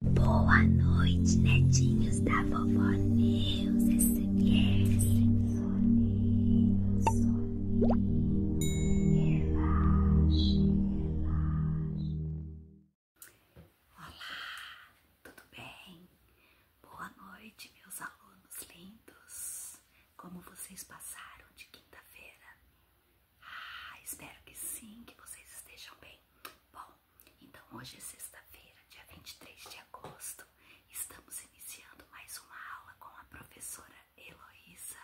Boa noite, netinhos da vovó Neus SMS. Relaxe, relaxe. Olá, tudo bem? Boa noite, meus alunos lindos. Como vocês passaram de quinta-feira? Ah, espero que sim, que vocês estejam bem. Bom, então hoje é sexta-feira, dia vinte e três de agosto. Estamos iniciando mais uma aula com a professora Heloísa.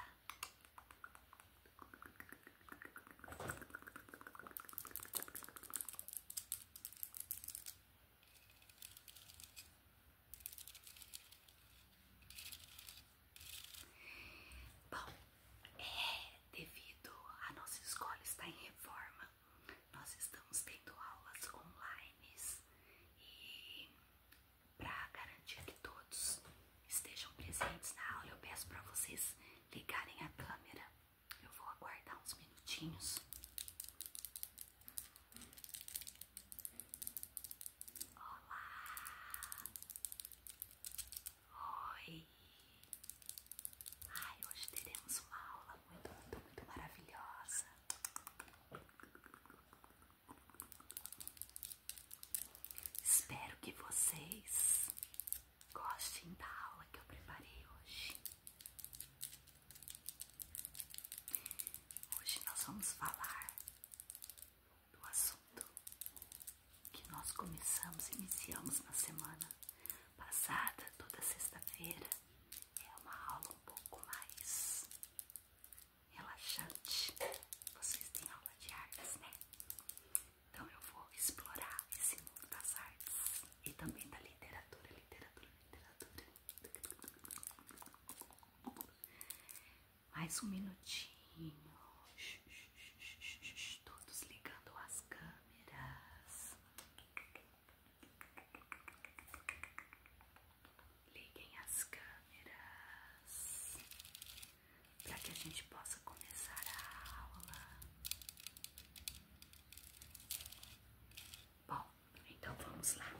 Bom, é, devido a nossa escola estar em reforma, nós estamos tendo aulas online e para garantir que todos estejam presentes na aula, eu peço para vocês ligarem a câmera. Eu vou aguardar uns minutinhos. Olá! Oi! Ai, hoje teremos uma aula muito, muito, muito maravilhosa. Espero que vocês gostem da aula que eu preparei hoje. Hoje nós vamos falar do assunto que nós começamos, iniciamos na semana passada, toda sexta-feira, é uma aula um pouco mais relaxante. Vocês têm aula de artes, né? Então eu vou explorar esse mundo das artes e também da literatura, literatura, literatura. Mais um minutinho. Todos ligando as câmeras. Liguem as câmeras para que a gente possa começar a aula. Bom, então vamos lá.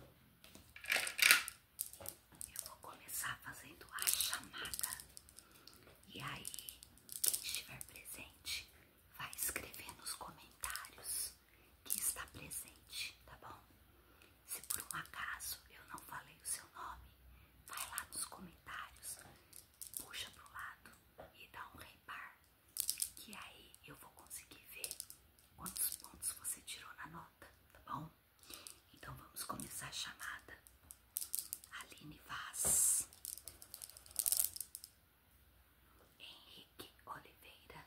Eu vou começar fazendo a chamada. E aí, quem estiver presente vai escrever nos comentários que está presente, tá bom? Se por um acaso eu não falei o seu nome, vai lá nos comentários, puxa pro lado e dá um repar, que aí eu vou conseguir ver quantos pontos você tirou na nota, tá bom? Então vamos começar a chamada. Aline Vaz. Henrique Oliveira.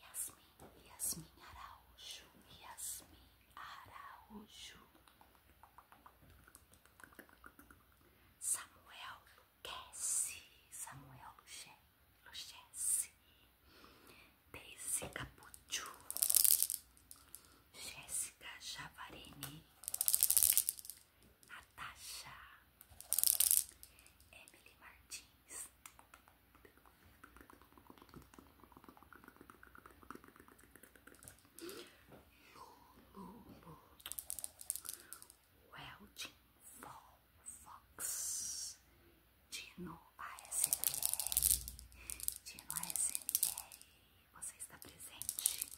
Yasmin, Yasmin Araújo, Yasmin Araújo. Samuel Luchesse, Samuel Luchesse, Daisy Capuchu, Jéssica Javarini, Natasha, Emily Martins, Lulu, Welding Fox, Dino ASMR. Dia no ASMR, você está presente?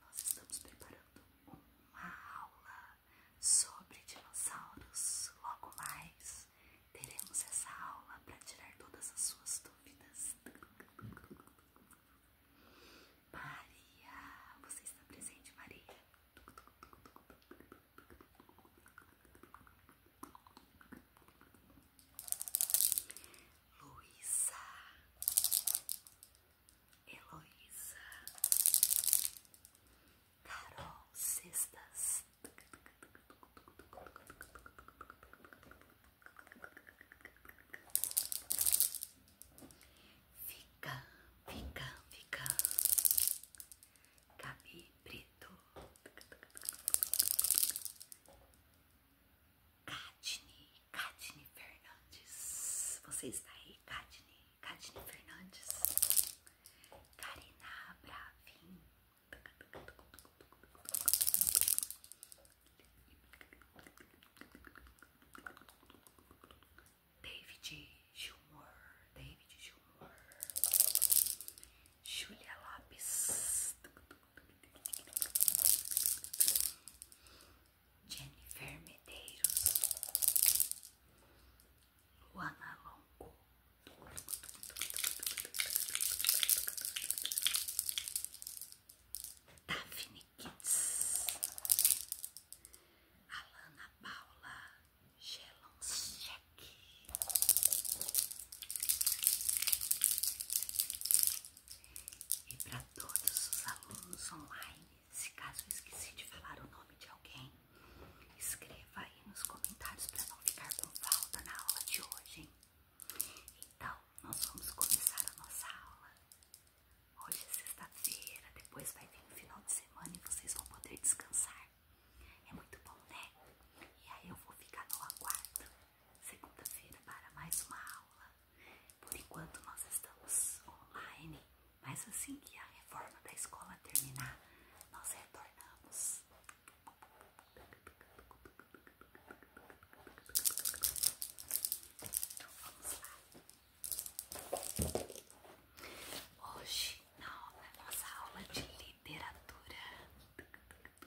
Nós estamos preparando uma aula sobre dinossauros. Logo mais teremos essa aula para tirar todas as suas dúvidas. Maria, você está presente, Maria? Luísa, Heloísa, Carol Cestas, Fica, fica, fica, Gabi preto. Katni, Katni Fernandes. Você está aí, Katni? Katni Fernandes. Karina Bravin. David Gilmore, David Gilmore, Julia Lopes, Jennifer Medeiros, Luana Longo, Daphne Kids, Alana Paula Gelonschek, e para todos os alunos online, se caso eu esqueci de falar o nome de alguém, escreva aí nos comentários para não ficar com falta na aula de hoje. Então, nós vamos começar a nossa aula. Hoje é sexta-feira, depois vai vir o final de semana e vocês vão poder descansar. É muito bom, né? E aí eu vou ficar no aguardo segunda-feira para mais uma aula. Por enquanto nós estamos online, mas assim que a reforma da escola terminar, nós retornamos. Então vamos lá. Hoje, na nossa aula de literatura,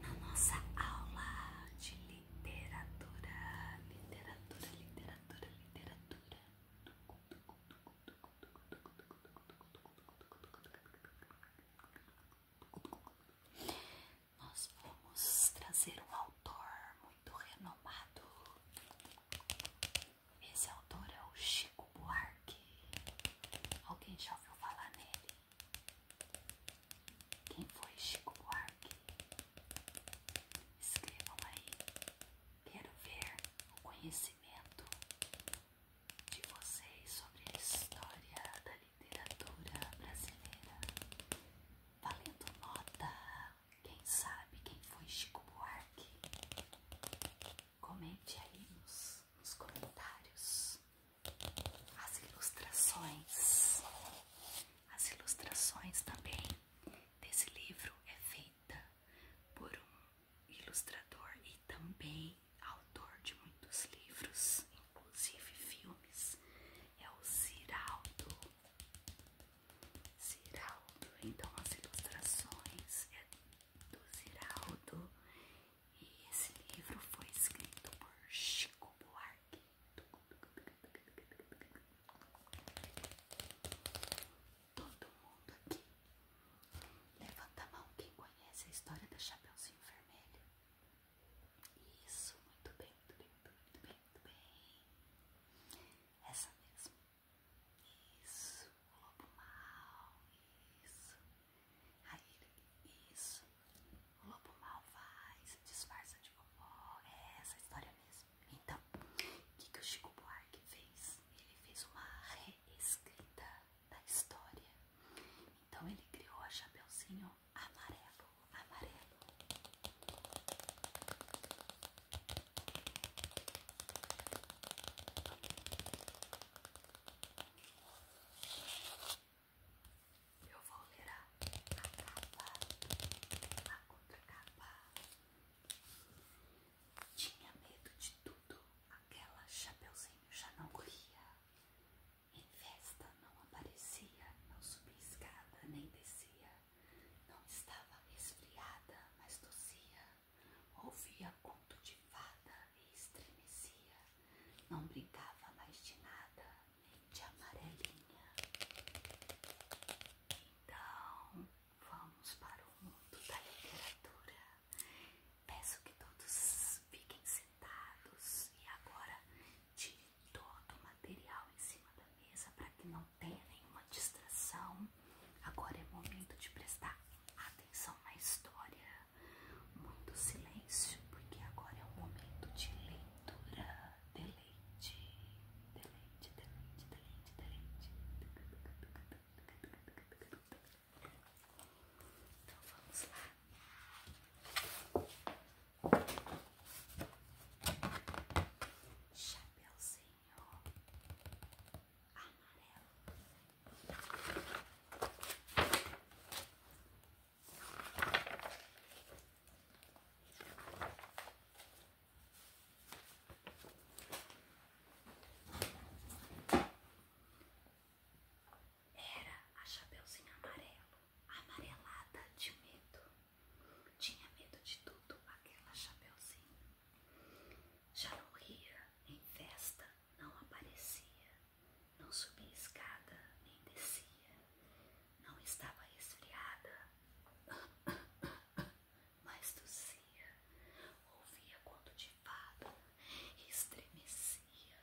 Na nossa aula de literatura, literatura, literatura, literatura. Nós vamos trazer um autor muito renomado esse autor é o Chico Buarque. Alguém já ouviu falar nele? Quem foi Chico Buarque? Escrevam aí. Quero ver o conhecimento de vocês sobre a história da literatura brasileira. Valendo nota quem sabe quem foi Chico Buarque? Comente aí nos, nos comentários as ilustrações. As ilustrações também desse livro é feita por um ilustrador e também autor de muitos livros, inclusive filmes, é o Ziraldo. Ziraldo, então as ilustrações é do Ziraldo e esse livro foi escrito por Chico Buarque. Todo mundo aqui. Levanta a mão quem conhece a história da Chapeuzinho Vermelho. Isso, muito bem, muito bem, muito bem, muito bem. Essa mesmo. Isso, o lobo mal, isso. Aí isso. O lobo mal vai, se disfarça de vovó. É essa a história mesmo. Então, o que, que o Chico Buarque fez? Ele fez uma reescrita da história. Então ele criou a Chapeuzinho amarelo, amarelo. Eu vou ler a capa, a contracapa. Tinha medo de tudo, aquela chapeuzinho já não corria. Em festa não aparecia, não subia escada nem descia. Não estava esfriada, mas tossia. Ouvia conto de fada e estremecia. Não brincava mais de nada, nem de amarelinha. Então, vamos para o mundo da literatura. Peço que todos fiquem sentados e agora tire todo o material em cima da mesa para que não tenha nenhuma distração agora é momento de prestar atenção à história. Muito silêncio, porque agora é o momento de leitura. Deleite, deleite, deleite, deleite, deleite. Então vamos lá. Chapeuzinho era a Chapeuzinho Amarelo, amarelada de medo. Tinha medo de tudo aquela Chapeuzinho. Já não ria, em festa não aparecia, não subia escada nem descia, não estava resfriada, mas tossia, ouvia quando de fada estremecia,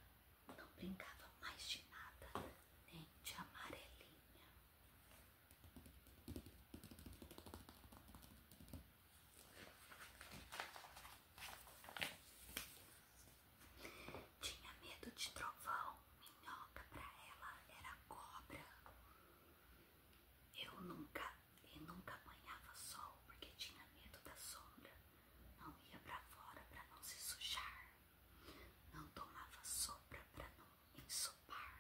não brincava mais de nada, nem de amarelinha. Tinha medo de trovão, minhoca pra ela era cobra. Eu nunca, e nunca apanhava sol porque tinha medo da sombra. Não ia pra fora pra não se sujar. Não tomava sopa pra não ensopar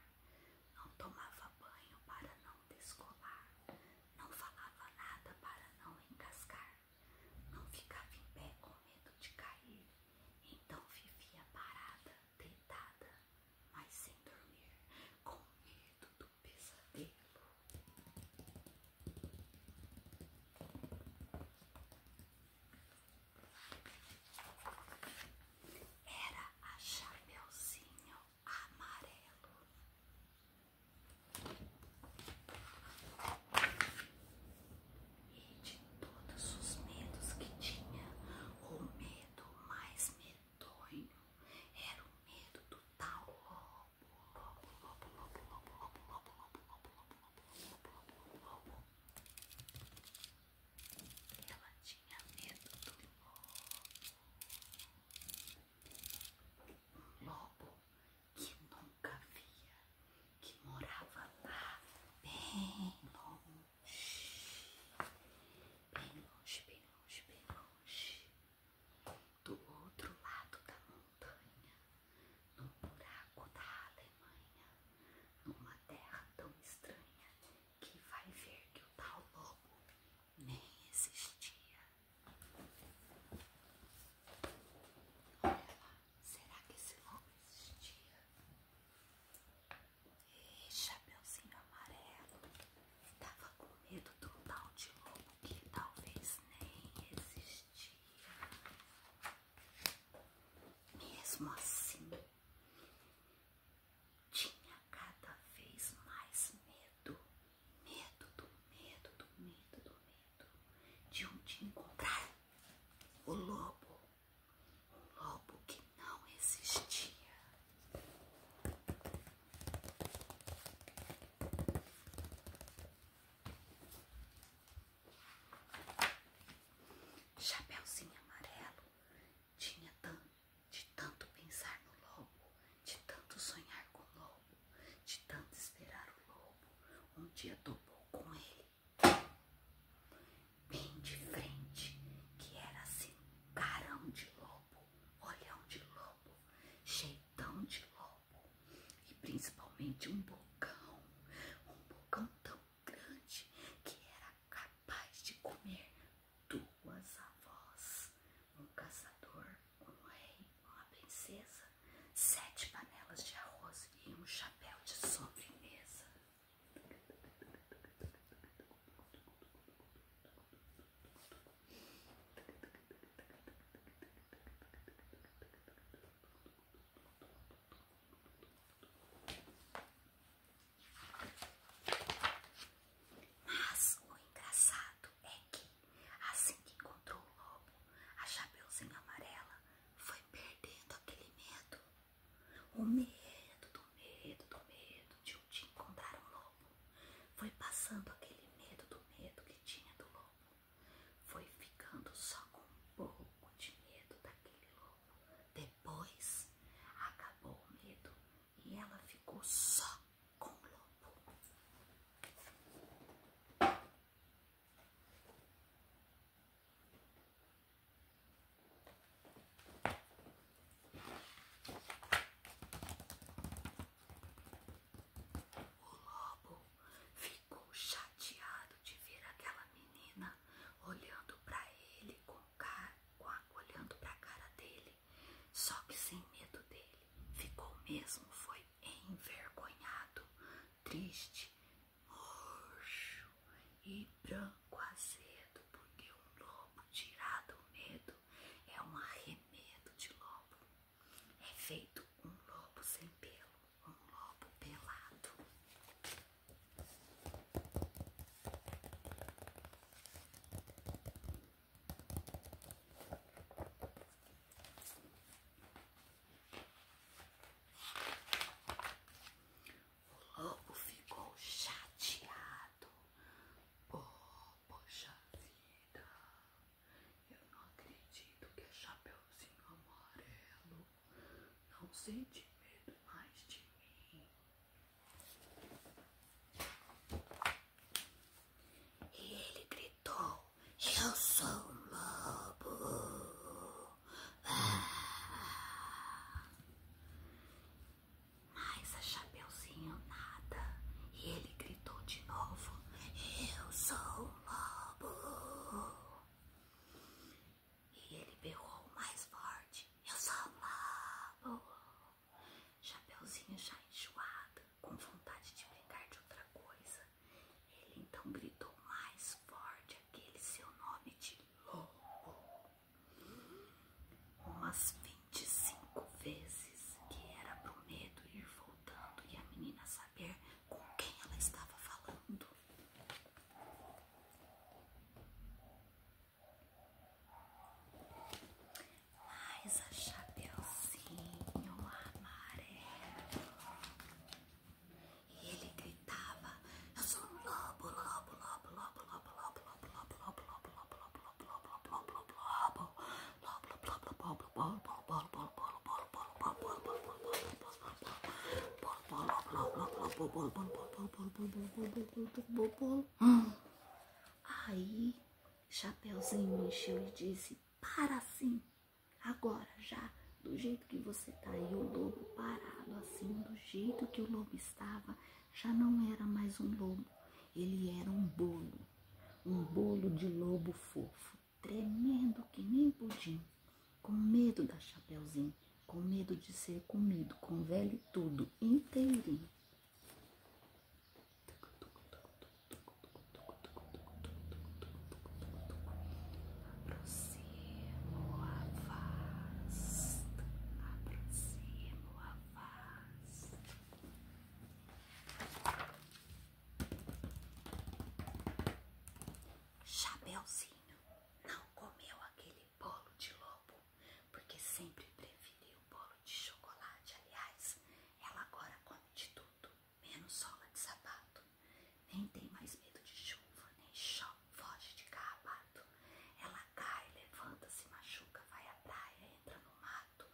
não tomava banho para não descolar, não falava nada para não encascar, não ficava em pé com medo de cair, então vivia parada, deitada, mas sem dormir, com medo do pesadelo. Era a Chapeuzinho amarelo. E de todos os medos que tinha, o medo mais medonho era o medo do tal lobo. Lobo, lobo, lobo, lobo, lobo, lobo, lobo, lobo, lobo, lobo, lobo, lobo. Ela tinha medo do lobo um lobo que nunca via, que morava lá bem longe, bem longe, bem longe, bem longe, do outro lado da montanha, num buraco da Alemanha, numa terra tão estranha que vai ver que o tal lobo nem existia. Olha lá, será que esse lobo existia? E chapeuzinho amarelo estava com medo do tal de lobo que talvez nem existia. Mesmo assim, tinha cada vez mais medo, medo do medo, do medo, do medo de onde encontrar o lobo, um lobo que não existia. Chapeuzinho amarelo tinha tanto de tanto pensar no lobo, de tanto sonhar com o lobo, de tanto esperar o lobo, um dia topou com ele, bem de frente, que era assim, carão de lobo, olhão de lobo, jeitão de lobo, e principalmente um bocão, um bocão tão grande que era capaz de comer duas avós, um caçador, um rei, uma princesa, sete panelas de arroz e um chapéu de sobremesa. Mas o engraçado é que Assim que encontrou o lobo, a Chapeuzinho Amarela foi perdendo aquele medo. O medo, do medo, do medo de um dia encontrar o lobo. Foi passando aquele medo do medo que tinha do lobo. Foi ficando só com um pouco de medo daquele lobo. Depois acabou o medo e ela ficou só com o lobo. O lobo ficou chateado de ver aquela menina olhando para ele com, com a, olhando para a cara dele, só que sem medo dele. Ficou mesmo, foi envergonhado, triste, roxo e branco azedo, porque um lobo tirado o medo é um arremedo de lobo. É feito um lobo sem pelo, um lobo pelado. O lobo ficou chateado. Oh, poxa vida! Eu não acredito que é Chapeuzinho Amarelo. Não sente medo mais de mim. E ele gritou: Eu sou um lobo. Ah. Mas a Chapeuzinho nada. E ele gritou de novo: Eu sou um lobo. E ele berrou mais forte: Eu sou um lobo. Chapeuzinho já enjoado, com vontade de brincar de outra coisa, ele então gritou mais forte aquele seu nome de lobo. Umas 25 vezes, que era pro medo ir voltando e a menina saber com quem ela estava falando mais a chapeuzinho amarelo. E ele gritava: Eu sou um lobo, lobo, lobo, lobo, lobo, lobo, lobo, lobo, lobo, lobo, lobo, lobo, lobo, lobo, lobo, lobo. Aí Chapeuzinho mexeu e disse: Para assim, agora já, do jeito que você está E o lobo, parado assim, do jeito que o lobo estava, já não era mais um lobo, ele era um bolo, um bolo de lobo fofo, tremendo que nem pudim, com medo da Chapeuzinho, com medo de ser comido, com velho tudo, inteirinho. Aproximo a voz, aproximo a voz. Chapeuzinho não comeu aquele bolo de lobo, porque sempre preferiu o bolo de chocolate. Aliás, ela agora come de tudo, menos sola de sapato. Nem tem mais medo de chuva, nem chove, foge de carrapato. Ela cai, levanta, se machuca, vai à praia, entra no mato,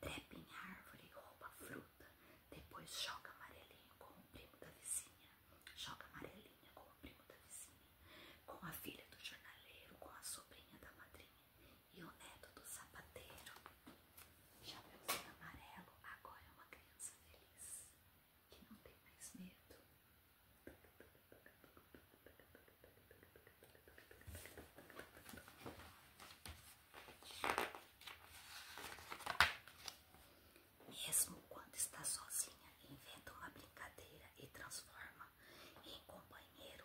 trepa em árvore, rouba fruta, depois choca amarelinho com o primo da vizinha. choca amarelinha com o primo da vizinha, com a filha do jornaleiro, com a sobrinha da madrinha. E o neto do sapateiro, já chapeuzinho amarelo, agora é uma criança feliz que não tem mais medo. Mesmo quando está sozinha, inventa uma brincadeira e transforma em companheiro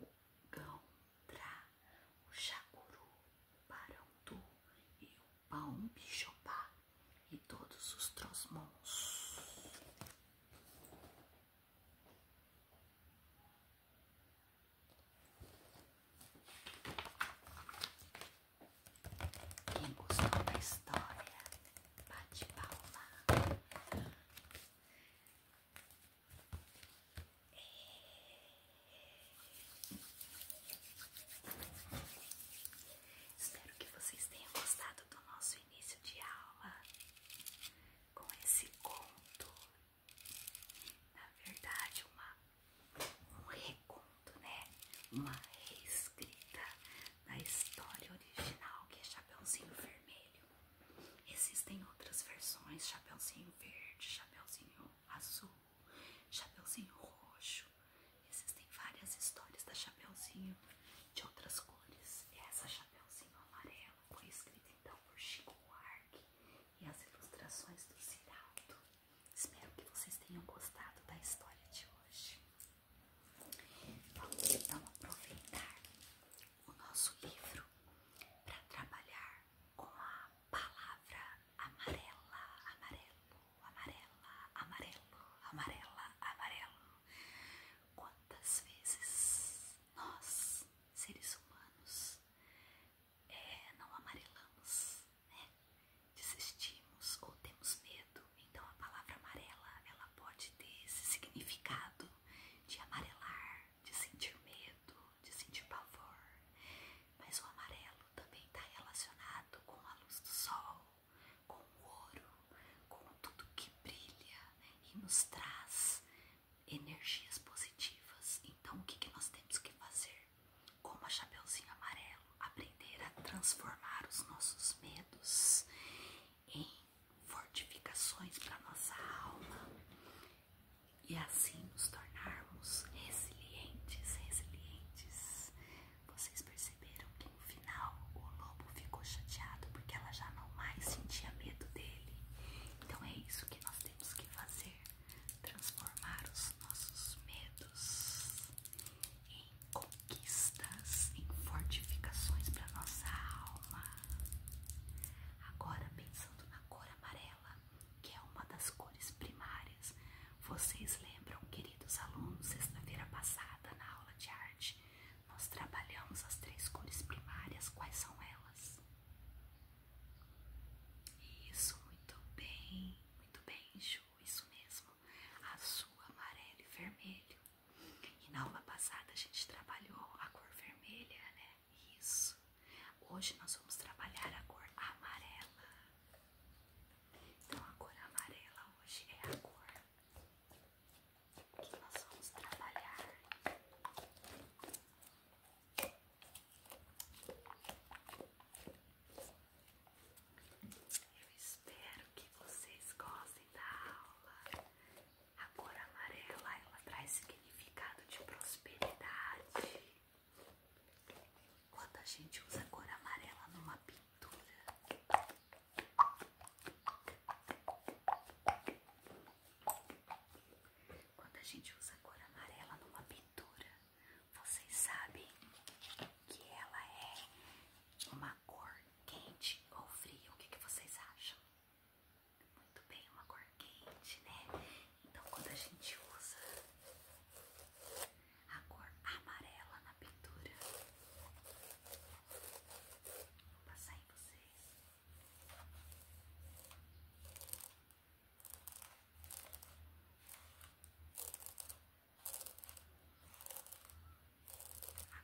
o Gão-Trá, o Jacuru, o Parandu e o bicho-pá e todos os Trosmons. Quem gostou da história, bate palma. Espero que vocês tenham gostado do nosso início de aula com esse conto. Na verdade, uma, um reconto, né? Uma reescrita da história original que é Chapéuzinho Vermelho. Existem outras versões, chapeuzinho verde, chapeuzinho azul, chapeuzinho roxo. Existem várias histórias da chapeuzinho de outras cores. Essa chapeuzinho amarela foi escrita então por Chico Buarque e as ilustrações do Ciraldo. Espero que vocês tenham gostado da história de hoje. Vamos então aproveitar o nosso livro para trabalhar com a palavra amarela, amarelo, amarela, amarelo, amarela, amarelo. Quantas vezes nós, seres humanos, é, não amarelamos, né? Desistimos ou temos medo. Então a palavra amarela ela pode ter esse significado de amarelar, de sentir medo, de sentir pavor. Mas o amarelo também está relacionado com a luz do sol, com o ouro, com tudo que brilha né, e nos traz energias positivas. Então, o que, que nós temos que fazer? Com a Chapeuzinho Amarelo, aprender a transformar os nossos medos em fortificações para nossa alma e assim nos tornarmos resilientes, resilientes. Vocês perceberam que no final o lobo ficou chateado porque ela já não mais sentia medo dele. Então é isso que nós temos que fazer: transformar os nossos medos em conquistas, em fortificações para nossa alma. Agora, pensando na cor amarela, que é uma das cores primárias, vocês lembram, queridos alunos, sexta-feira passada na aula de arte, nós trabalhamos as três cores primárias, quais são elas? Isso, muito bem, muito bem, Ju, isso mesmo, azul, amarelo e vermelho. E na aula passada a gente trabalhou a cor vermelha, né? Isso. Hoje nós vamos trabalhar a cor amarela. Então a cor amarela hoje é a cor que nós vamos trabalhar. Eu espero que vocês gostem da aula. A cor amarela ela traz significado de prosperidade. Quando a gente usa a cor amarela numa pintura, quando a gente usa a cor amarela numa pintura, vocês sabem que ela é uma cor quente ou fria. O que vocês acham? muito bem, uma cor quente, né? Então, quando a gente usa a cor amarela na pintura, vou passar em vocês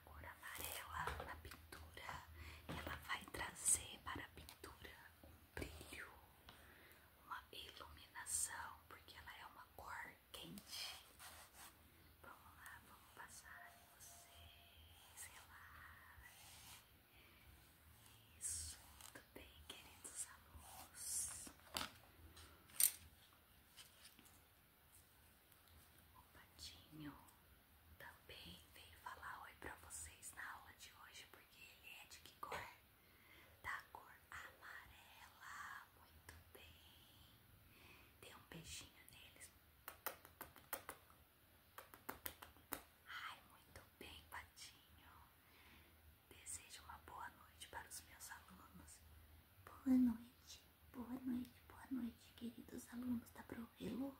a cor amarela na pintura, ela vai trazer para a pintura um brilho, uma iluminação, porque ela é uma cor quente. Vamos lá, vamos passar em vocês, relaxem. Isso, tudo bem, queridos alunos? O patinho também veio falar oi para vocês na aula de hoje, porque ele é de que cor? Da cor amarela. Muito bem. Dê um beijinho neles. Ai, muito bem, Patinho. Desejo uma boa noite para os meus alunos. Boa noite, boa noite, boa noite, queridos alunos da ProRelo.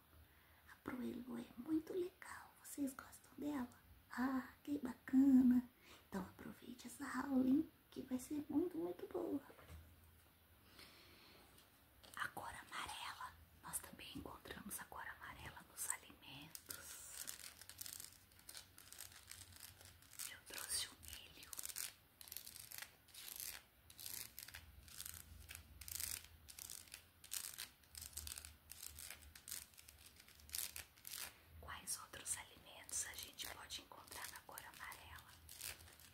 A para Elo é muito legal. Vocês gostam dela? Ah, que bacana! Então aproveite essa aula, hein? Que vai ser muito, muito boa. A cor amarela. Nós também encontramos a cor amarela nos alimentos. Eu trouxe um milho. Quais outros alimentos a gente pode encontrar na cor amarela?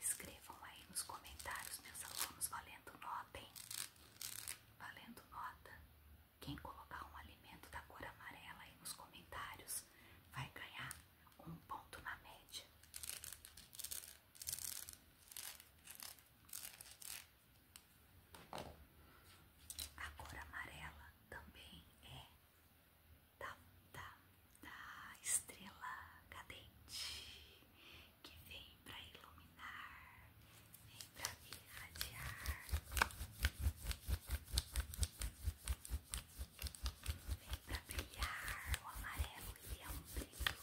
Escrevam aí nos comentários, meus alunos, valendo nota, Valendo nota. Quem colocar um alimento da cor amarela aí nos comentários vai ganhar um ponto na média. A cor amarela também é da, estrela cadente que vem para iluminar, vem para irradiar, vem para brilhar. O amarelo é um brilho.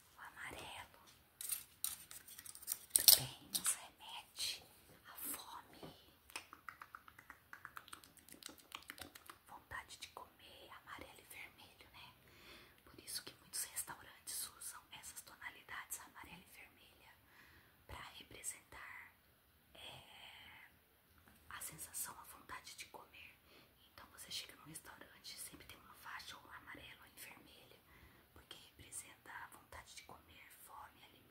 o amarelo também nos remete à fome, vontade de comer amarelo e vermelho, né? Por isso que muitos restaurantes usam essas tonalidades amarelo e vermelha para representar é, a sensação, a vontade de comer então você chega num restaurante, sempre tem uma faixa ou amarelo ou em vermelha, porque representa a vontade de comer, fome, alimento.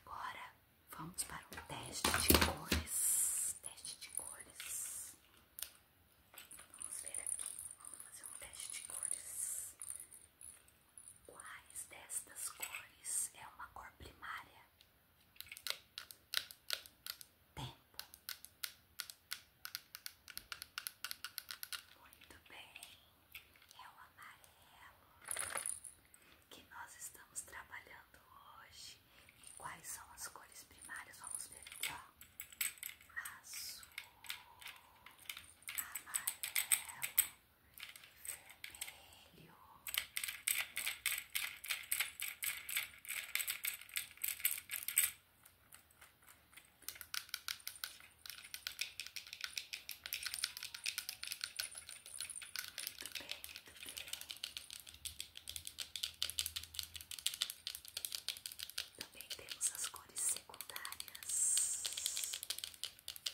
Agora vamos para um teste de cores. Teste de cores. Vamos ver aqui. Vamos fazer um teste de cores. Quais destas cores é uma cor primária? Tempo. Muito bem, é o amarelo que nós estamos trabalhando hoje. E quais são as cores primárias? Vamos ver aqui, ó. Azul, amarelo, vermelho. Muito bem, muito bem. Também temos as cores secundárias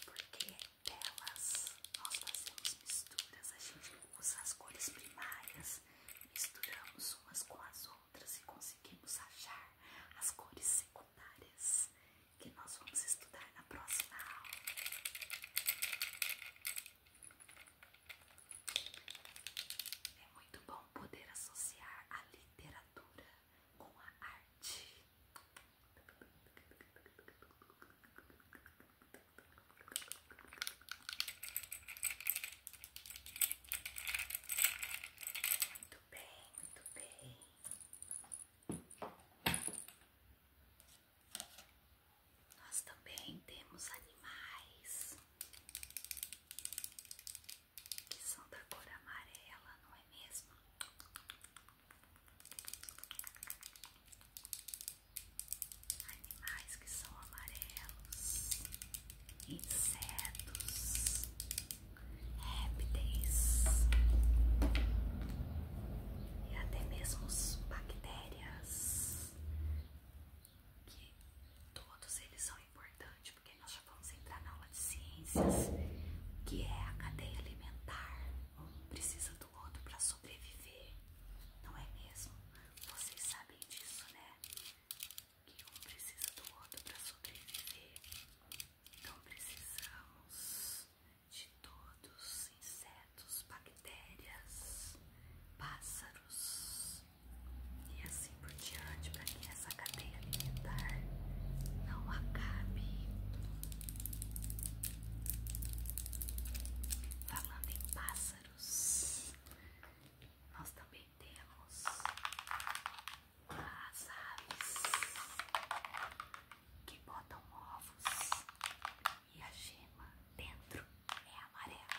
porque delas nós fazemos misturas, a gente usa as cores primárias, misturamos umas com as outras e conseguimos achar as cores secundárias que nós vamos estudar na próxima aula. É muito bom poder associar a literatura com a arte. Muito bem, muito bem. Nós também temos animais que são da cor amarela, não é mesmo? Animais que são amarelos, insetos, répteis e até mesmo bactérias, que todos eles são importantes porque nós já vamos entrar na aula de ciências, que é a cadeia alimentar. Um precisa do outro para sobreviver, não é mesmo? Vocês sabem disso, né? Que um precisa do outro para sobreviver. Então precisamos de todos, insetos, bactérias, pássaros e assim por diante, para que essa cadeia alimentar não acabe. Falando em pássaros, nós também temos as aves que botam ovos e a gema dentro é amarela.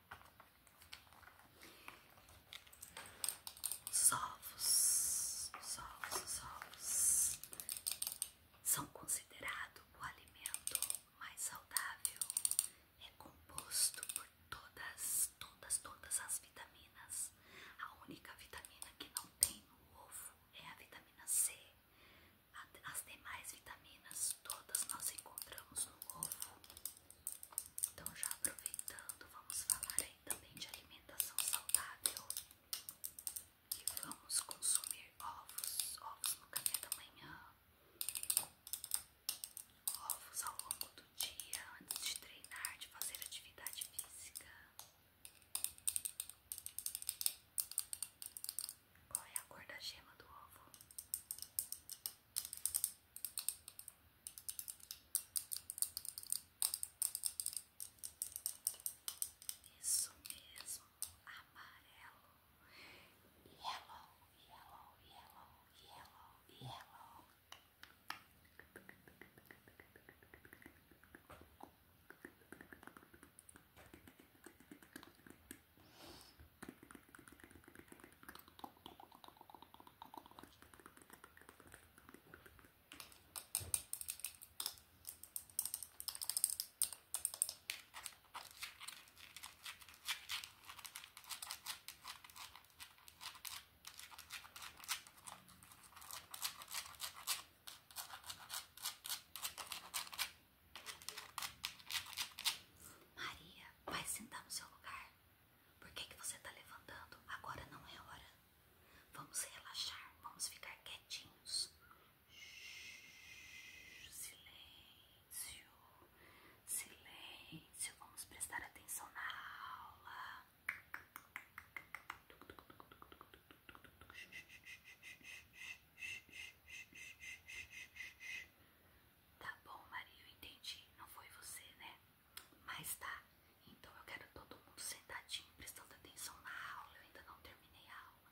Os ovos, os são considerados o alimento mais saudável. É composto por todas, todas, todas as vitaminas. A única vitamina que não tem no ovo é a vitamina C. As demais vitaminas todas nós encontramos no ovo. Então, já aproveitando, vamos falar aí também de alimentação saudável. E vamos consumir ovos, ovos no café da manhã, ovos ao longo do dia, antes de treinar, de fazer atividade física. Qual é a cor da gema do ovo? Isso mesmo, amarelo. Yellow, yellow, yellow, yellow, yellow. Maria, vai sentar no seu lugar. Por que, que você está levantando? Agora não é hora. Vamos relaxar, vamos ficar quietinhos. Silêncio, silêncio. Vamos prestar atenção na aula. Tá bom, Maria, eu entendi. Não foi você, né? Mas tá, então eu quero todo mundo sentadinho, prestando atenção na aula. Eu ainda não terminei a aula.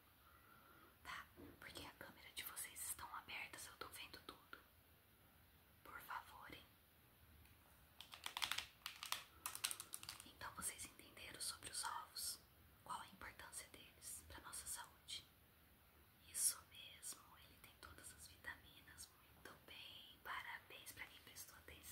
Tá? Porque a câmera de vocês estão abertas, eu tô vendo tudo. Por favor, hein? Então vocês entenderam sobre os ovos? Qual a importância deles para nossa saúde? Isso mesmo, ele tem todas as vitaminas, muito bem, parabéns para quem prestou atenção.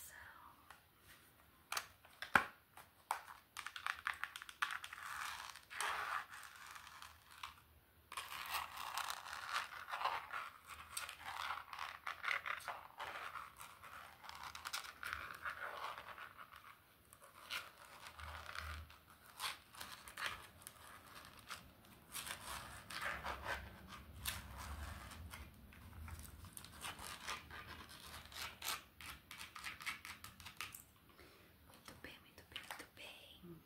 Muito bem, muito bem, muito bem.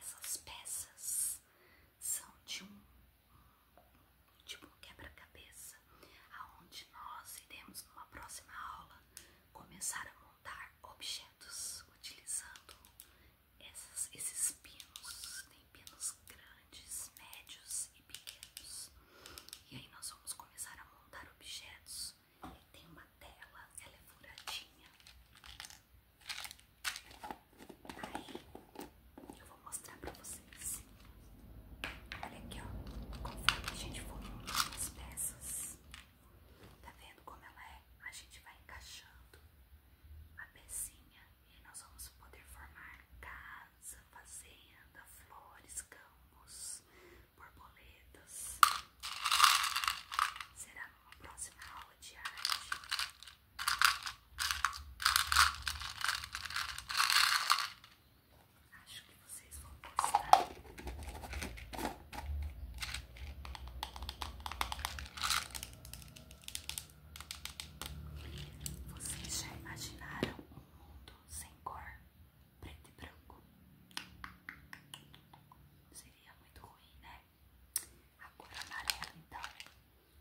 Essas peças são de um tipo quebra-cabeça, aonde nós iremos numa próxima aula começar a montar objetos utilizando esses pinos. Tem pinos grandes grandes, médios e pequenos. E aí nós vamos começar a montar objetos. tem uma tela, ela é furadinha. Aí eu vou mostrar pra vocês. Olha aqui, ó. Conforme a gente for montando as peças, tá vendo como ela é? A gente vai encaixando a pecinha e nós vamos poder formar cada fazenda, flores, campos, borboletas. Será numa próxima aula de arte. Acho que vocês vão gostar. Vocês já imaginaram um mundo sem cor, preto e branco. Seria muito ruim, né? A cor amarela, então,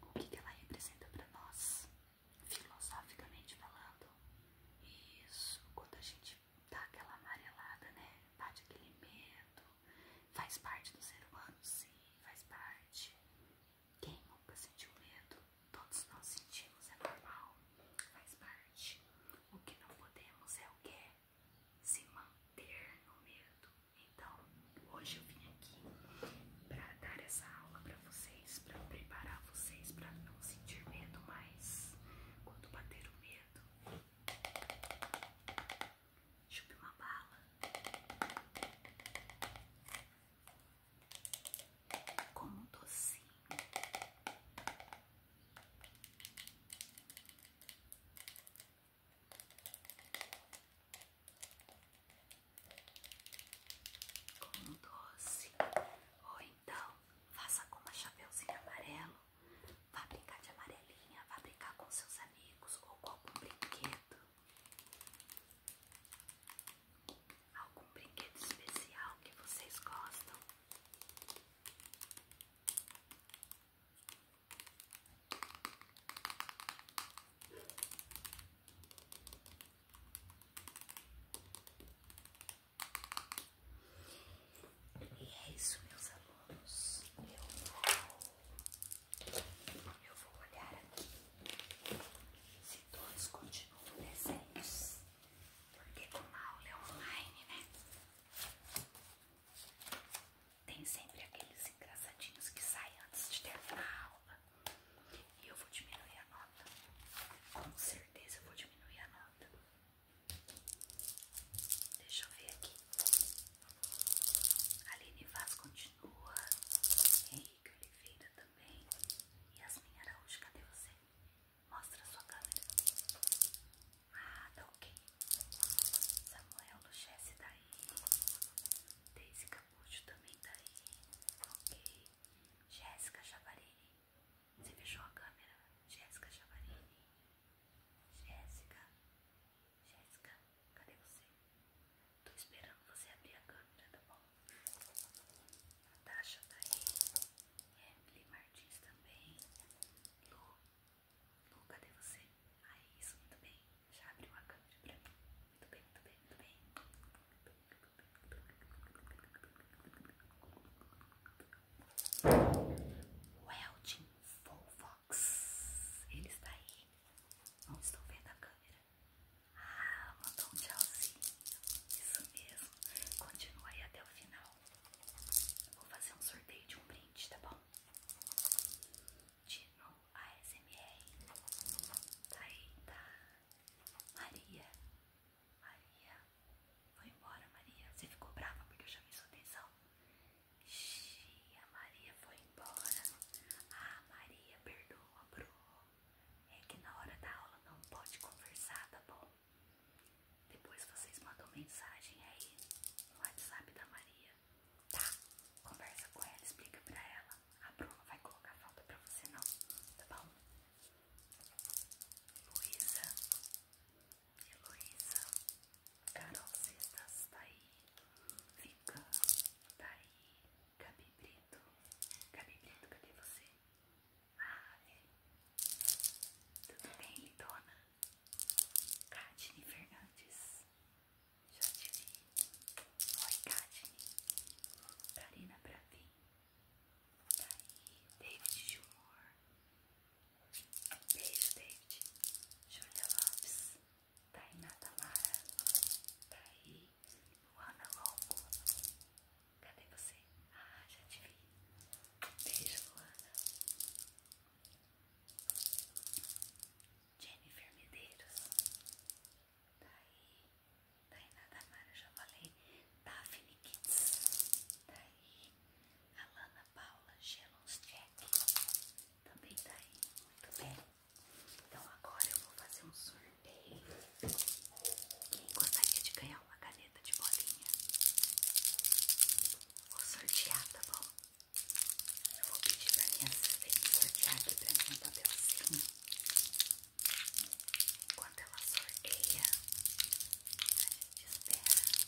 o que, que ela representa para nós, filosoficamente falando? Isso, quando a gente dá aquela amarelada, né? Bate aquele medo, faz parte do ser humano, sim, faz parte. Quem nunca sentiu medo? Todos nós sentimos, é normal, faz parte. O que não podemos é o que? Se manter no medo. Então, hoje eu vim aqui para dar essa aula para vocês, para preparar vocês para não sentir medo mais. Quando bater o medo, chupe uma bala como docinho. Como doce, ou então faça com uma chapeuzinho amarelo, vá brincar de amarelinha, vá brincar com seus amigos ou com algum brinquedo algum brinquedo especial que vocês gostam? E é isso, meus alunos. Eu vou, eu vou olhar aqui se todos continuam presentes, porque como a aula é online, né? Tem sempre aqueles engraçadinhos que saem antes de terminar a aula. E eu vou diminuir a nota. Com certeza eu vou diminuir a nota. Deixa eu ver aqui. Aline Vaz continua. Henrique Oliveira também bem? Yasmin Araújo, cadê você? Mostra sua câmera. Ah, tá ok. Samuel Luchesse tá aí. Daisy Capucho também tá aí. Ok. Jéssica Chavarini. Você fechou a câmera? Jéssica Chavarini. Jéssica. Jéssica, cadê você? Tô esperando você abrir a câmera, tá bom? Natasha tá aí, Emily Martins também, Lu, Lu, cadê você? Ah, isso, muito bem, já abriu a câmera pra mim, muito bem, muito bem, muito bem. O Elton Fox, ele está aí, não estou vendo a câmera, ah, mandou um tchauzinho. Isso mesmo. Continua aí até o final. Eu vou fazer um sorteio de um brinde, tá bom? Dino ASMR. Tá aí, tá. Maria. Maria. Foi embora, Maria. Você ficou brava porque eu chamei sua atenção? Xii, a Maria foi embora. Ah, Maria, perdoa, bro é que na hora da aula não pode conversar, tá bom? Depois vocês mandam mensagem aí no WhatsApp da Maria, tá? Conversa com ela, explica pra ela. A Bruna vai colocar falta pra você não, tá bom? Luísa, Heloísa, Carol vocês estão aí, Fica, tá aí. Gabi Brito. Gabi Brito, cadê você? Ah, é. Tudo bem, dona. Katine Fernandes. Já te vi. Oi, Katine. Karina Bravin. Daí, tá David Gilmore. Beijo, David. Júlia Lopes. Tainá Tamara. Daí, tá Luana Longo, cadê você? Ah, já te vi. Beijo, Luana. Jennifer Medeiros. Daí, Tainá Damara, já falei. Daphne Kids. Daí, Alana Paula, Gelons Jack. Também daí, muito bem. Então agora eu vou fazer um surto. Quem gostaria de ganhar uma caneta de bolinha? Vou sortear, tá bom? Eu vou pedir pra minha assistente sortear aqui pra mim um papelzinho. Enquanto ela sorteia, a gente espera. Vamos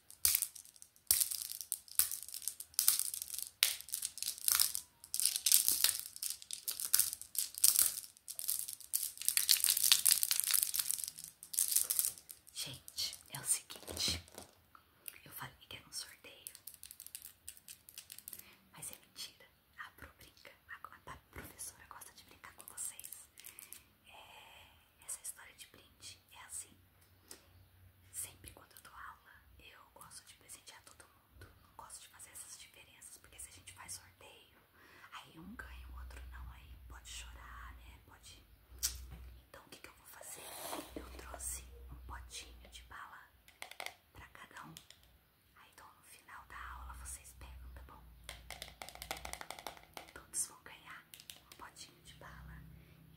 Gente, é o seguinte, eu falei que era um sorteio, mas é mentira. A, brinca, a professora gosta de brincar com vocês. É, essa história de brinde é assim. Sempre quando eu dou aula, eu gosto de presentear todo mundo. Não gosto de fazer essas diferenças, porque se a gente faz sorteio, aí um ganha, o outro não, aí pode chorar, né? Pode. Então o que, eu vou fazer? Eu trouxe um potinho de bala pra cada um. Aí então, no final da aula vocês pegam, tá bom? Todos vão ganhar um potinho de bala.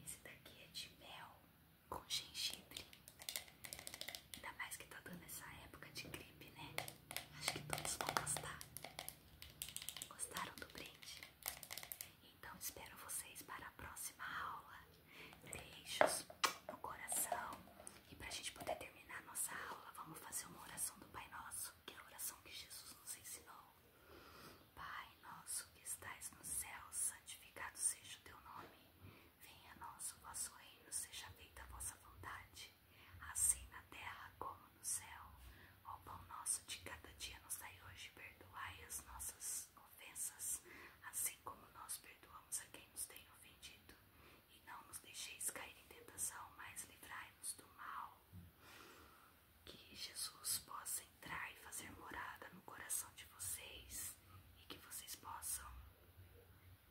Esse daqui é de mel com gengibre. Ainda mais que tá dando essa época de gripe, né? Acho que todos vão gostar. Gostaram do brinde? Então espero vocês para a próxima aula. Beijos no coração. E pra gente poder terminar nossa aula, vamos fazer uma oração do Pai Nosso, que é a oração que Jesus nos ensinou. Pai nosso que estais no céu, santificado seja o teu nome. Venha a nós o vosso reino, seja feita a vossa vontade, assim na terra como no céu. O pão nosso de cada dia nos dai hoje, perdoai as nossas ofensas, assim como nós perdoamos a quem nos tem ofendido. E não nos deixeis cair em tentação, mas livrai-nos do mal que Jesus possa entrar e fazer morada no coração de vocês e que vocês possam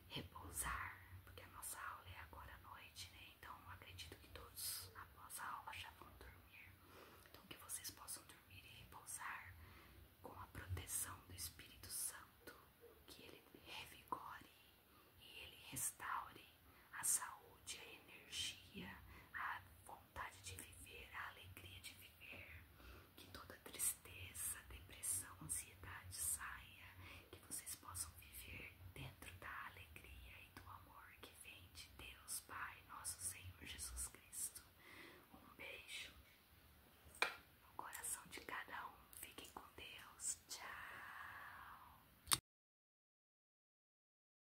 repousar, porque a nossa aula é agora à noite, né? Então acredito que todos após a aula já vão dormir. Então que vocês possam dormir e repousar com a proteção do Espírito Santo, que ele revigore e ele restaure a saúde, a energia, a vontade de viver, a alegria de viver, que toda tristeza, depressão, ansiedade saia, que vocês possam viver dentro da alegria e do amor que vem de Deus Pai, nosso Senhor Jesus Cristo. Um beijo no coração de cada um. Fiquem com Deus. Tchau.